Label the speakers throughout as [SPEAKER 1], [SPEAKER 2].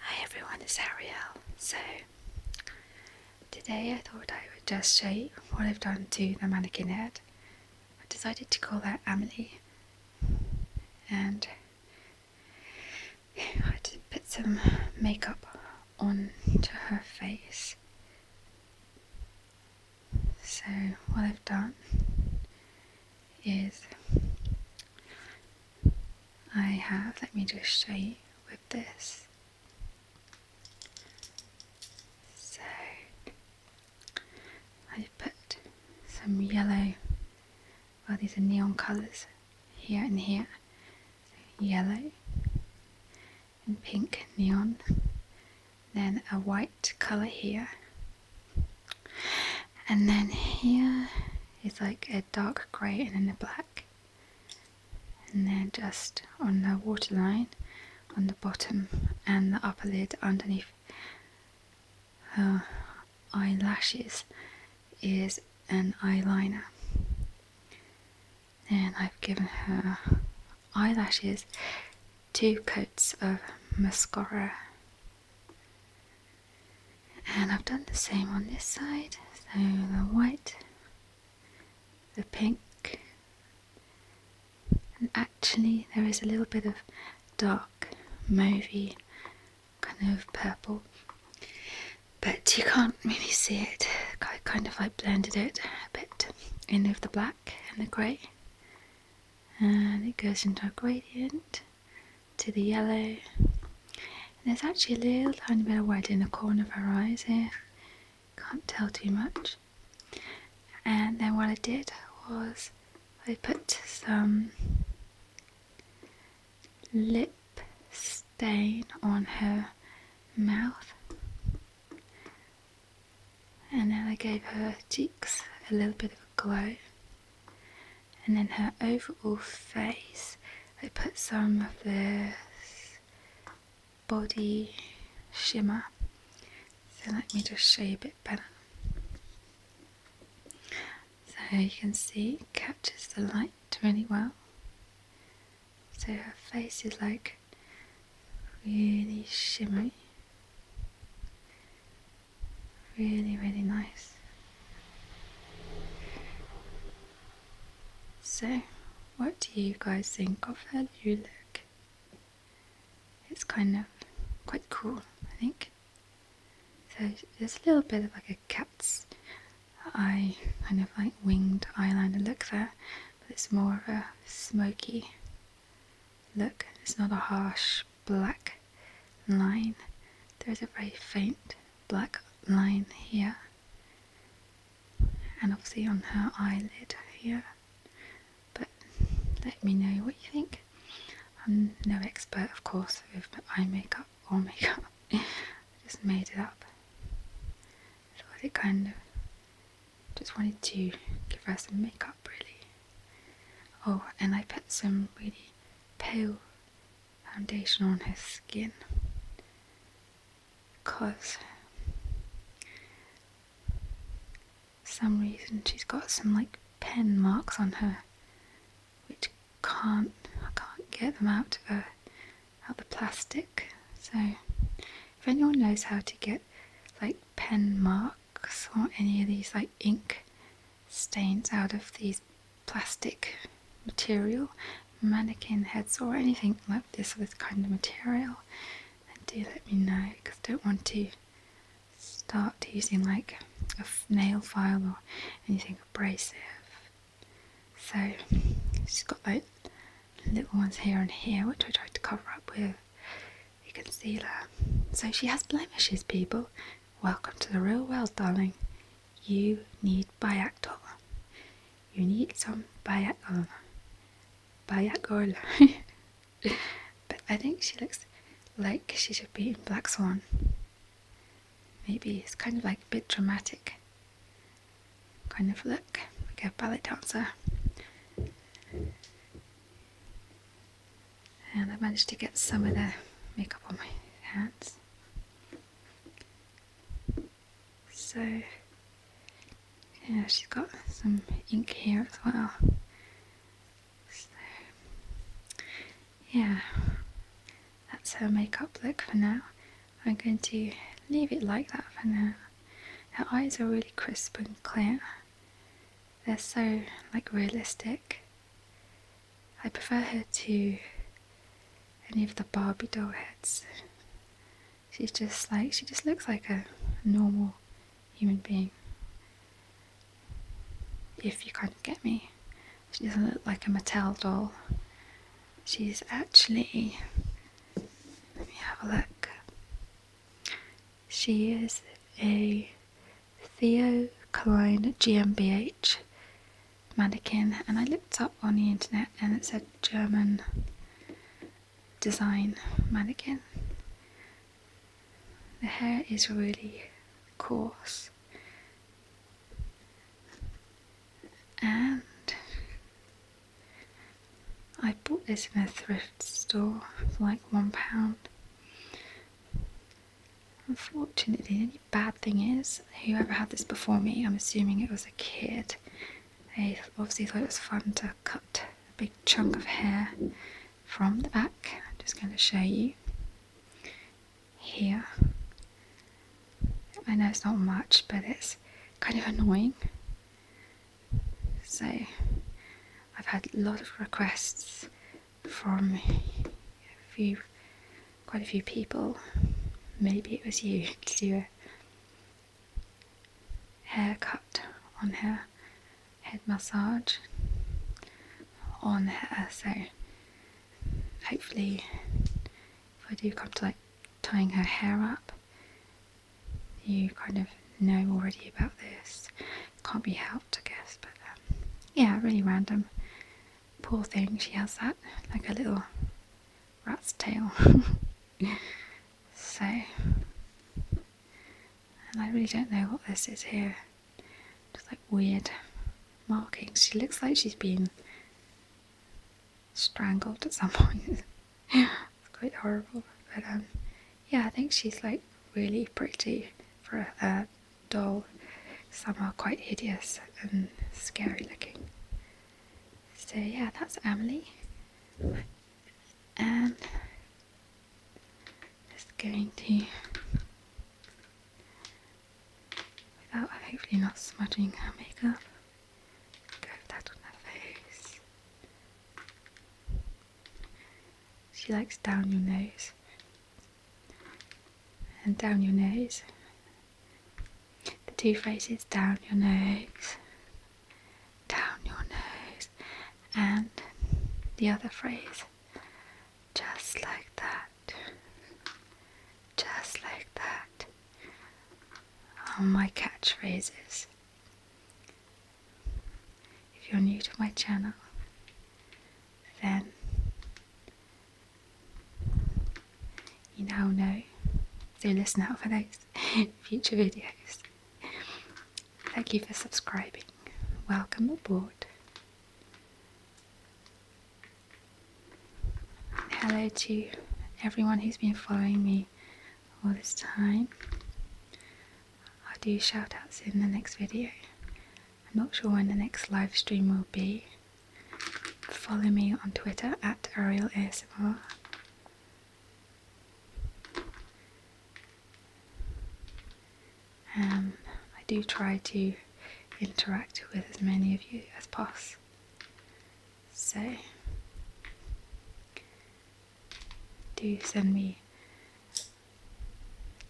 [SPEAKER 1] Hi everyone, it's Ariel. So today I thought I would just show you what I've done to the mannequin head. I decided to call that Amelie and I just put some makeup onto her face. So what I've done is I have, let me just show you with this. So I have put some yellow, well these are neon colours here and here, yellow and pink neon, then a white colour here and then here is like a dark grey and then a black and then just on the waterline on the bottom and the upper lid underneath her eyelashes is an eyeliner and I've given her eyelashes two coats of mascara. And I've done the same on this side, so the white, the pink, and actually there is a little bit of dark mauvey kind of purple, but you can't really see it. I kind of like blended it a bit in with the black and the grey and it goes into a gradient to the yellow there's actually a little tiny bit of white in the corner of her eyes here can't tell too much and then what I did was I put some lip stain on her mouth and then I gave her cheeks a little bit of a glow, and then her overall face. I put some of this body shimmer. So let me just show you a bit better. So you can see it captures the light really well. So her face is like really shimmery really really nice so what do you guys think of how you look it's kind of quite cool I think so there's a little bit of like a cat's eye kind of like winged eyeliner look there but it's more of a smoky Look, it's not a harsh black line. There's a very faint black line here. And obviously on her eyelid here. But let me know what you think. I'm no expert, of course, with eye makeup or makeup. I just made it up. I thought it kind of just wanted to give her some makeup really. Oh, and I put some really pale foundation on her skin because some reason she's got some like pen marks on her which can't I can't get them out of her uh, out the plastic so if anyone knows how to get like pen marks or any of these like ink stains out of these plastic material mannequin heads or anything like this kind of material do let me know because I don't want to start using like a nail file or anything abrasive so she's got like little ones here and here, which I tried to cover up with a concealer. So she has blemishes, people. Welcome to the real world, darling. You need Bayactol. You need some Bayactol. Bayactol. but I think she looks like she should be in Black Swan. Maybe it's kind of like a bit dramatic kind of look, like a ballet dancer. And I managed to get some of the makeup on my hands. So, yeah, she's got some ink here as well. So, yeah, that's her makeup look for now. I'm going to leave it like that for now. Her eyes are really crisp and clear. They're so like realistic. I prefer her to any of the Barbie doll heads. She's just like she just looks like a normal human being. If you can't get me. She doesn't look like a Mattel doll. She's actually let me have a look. She is a Theo Klein GmbH mannequin, and I looked up on the internet and it said German design mannequin. The hair is really coarse. And I bought this in a thrift store for like one pound. Unfortunately, the bad thing is, whoever had this before me, I'm assuming it was a kid, they obviously thought it was fun to cut a big chunk of hair from the back. I'm just going to show you here. I know it's not much, but it's kind of annoying. So I've had a lot of requests from a few, quite a few people. Maybe it was you to do a haircut on her head massage on her. So hopefully, if I do come to like tying her hair up. You kind of know already about this. Can't be helped, I guess, but um, yeah, really random. Poor thing, she has that, like a little rat's tail. so, and I really don't know what this is here. Just like weird markings. She looks like she's been strangled at some point. quite horrible. But um, yeah, I think she's like really pretty for a, a doll. Some are quite hideous and scary looking. So yeah, that's Emily. And um, just going to without hopefully not smudging her makeup. Go with that on her face. She likes down your nose and down your nose. The two phrases down your nose, down your nose, and the other phrase just like that. Just like that are my catchphrases. If you're new to my channel, then you now know. So listen out for those future videos. Thank you for subscribing. Welcome aboard hello to everyone who's been following me all this time. I'll do shoutouts in the next video. I'm not sure when the next live stream will be. Follow me on Twitter at Ariel ASMR. Um, I do try to interact with as many of you as possible. So, do send me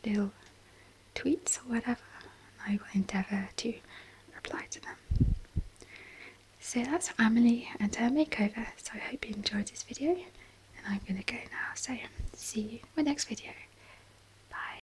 [SPEAKER 1] little tweets or whatever, and I will endeavour to reply to them. So that's Emily and her makeover, so I hope you enjoyed this video, and I'm going to go now, so see you in my next video. Bye.